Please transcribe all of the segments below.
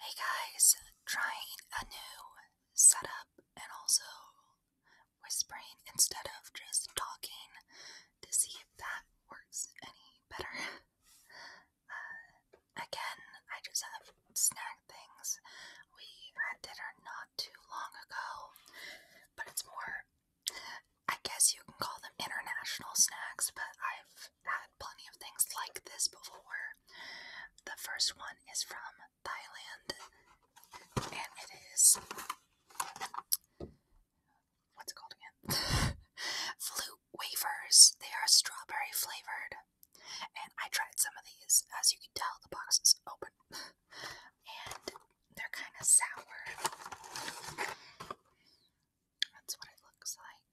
Hey guys, trying a new setup and also whispering instead of just talking to see if that works any better. Uh, again, I just have snack things. We had dinner not too long ago, but it's more, I guess you can call them international snacks, but I've had plenty of things like this before. The first one is from Thailand, and it is what's it called again? Flute wafers. They are strawberry flavored, and I tried some of these. As you can tell, the box is open, and they're kind of sour. That's what it looks like.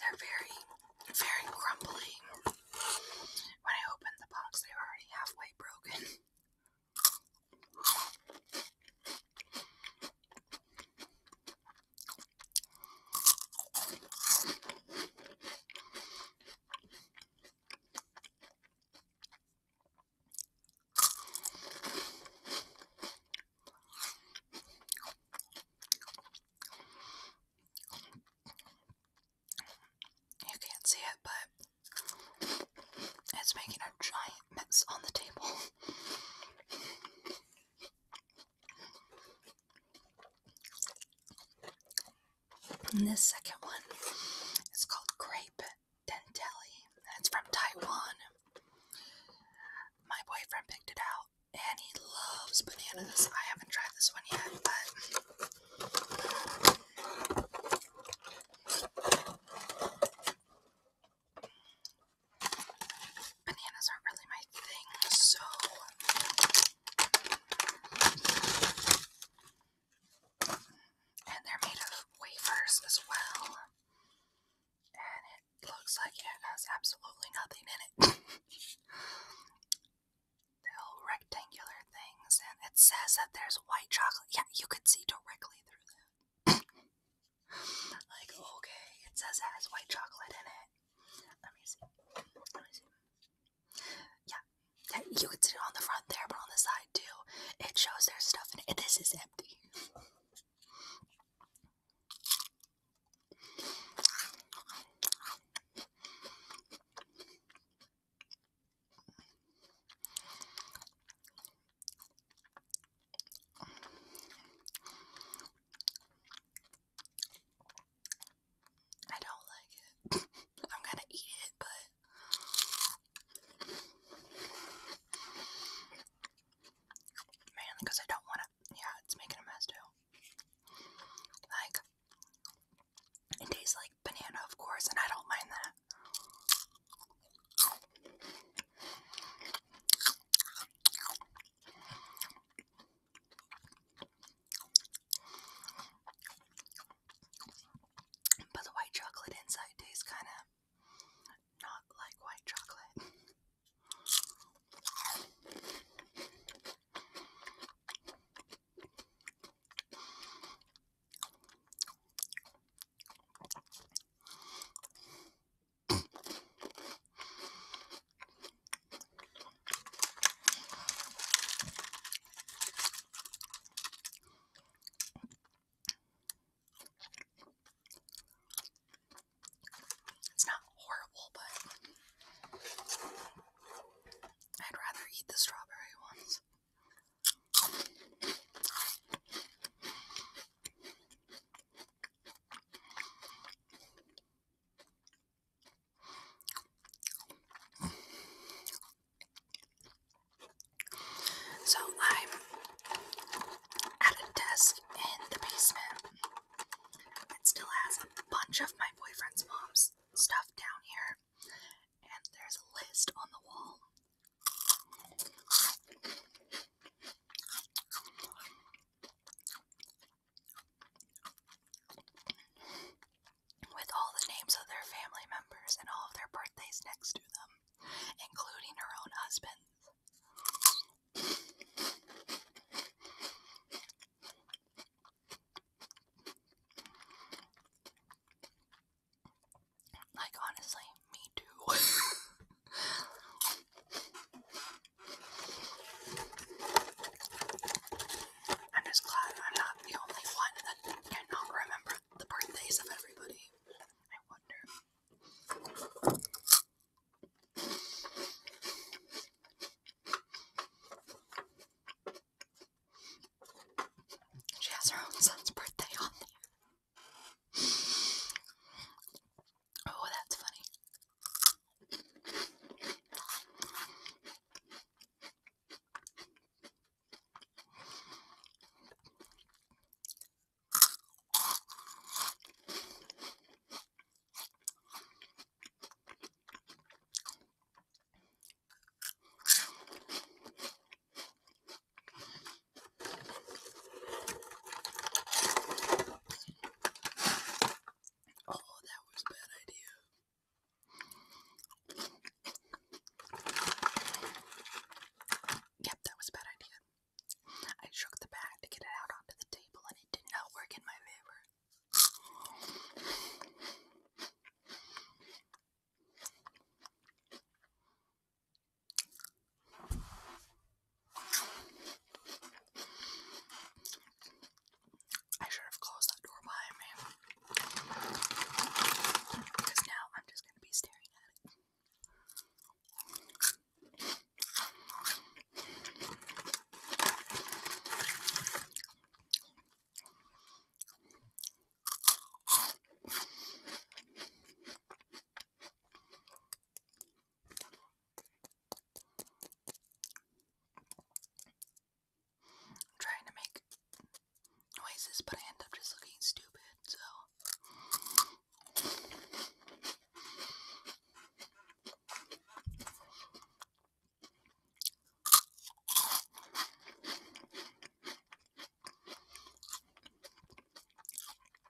They're very, very crumbly. When I opened the box, they were already halfway broken. You can't see it, but it's making a giant mess on the table. And this second one is called Grape Dentelli. It's from Taiwan. My boyfriend picked it out and he loves bananas. I haven't tried this one yet, but Bananas aren't really my thing, so and they're made of wafers as well. And it looks like it has absolutely nothing in it. They're rectangular things, and it says that there's white chocolate. Yeah, you could see directly through that. Like, okay, it says it has white chocolate in it. Let me see. Yeah. You can see it on the front there, but on the side too. It shows there's stuff in it. This is empty. I don't like it. I'm gonna eat it, but mainly because I don't want to. Yeah, it's making a mess too. Like, it tastes like banana, of course, and I don't mind that. But the white chocolate inside tastes kind of not like white chocolate. It's not horrible, but I'd rather eat the strawberry ones. So I'm at a desk in the basement It still has a bunch of my boyfriend's mom's stuff down here, and there's a list on the wall. With all the names of their family members and all of their birthdays next to them, including her own husband. Like, honestly, me too. I'm just glad I'm not the only one that cannot remember the birthdays of everybody. I wonder. She has her own son's birthday on there. Oh, that's funny. Oh, that was a bad idea. Yep, that was a bad idea. I shook the bag to get it out onto the table and it did not work in my favor. I should have closed that door behind me. Because now I'm just going to be staring at it. I'm trying to make noises, but I end up just looking stupid, so.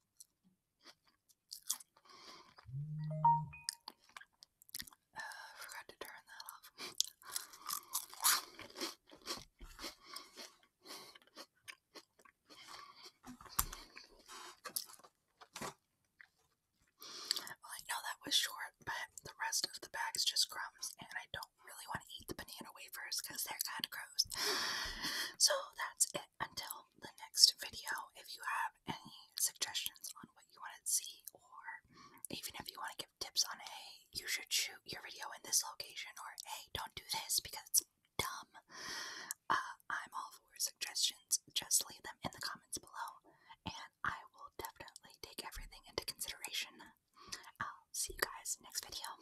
I forgot to turn that off. Well, I know that was short, but the rest of the bag's just crumbs, and I don't really want to eat the banana more wafers because they're kind of gross. So that's it until the next video. If you have any suggestions on what you want to see, or even if you want to give tips on hey, you should shoot your video in this location, or hey, don't do this because it's dumb, uh, I'm all for suggestions. Just leave them in the comments below, and I will definitely take everything into consideration. I'll see you guys next video.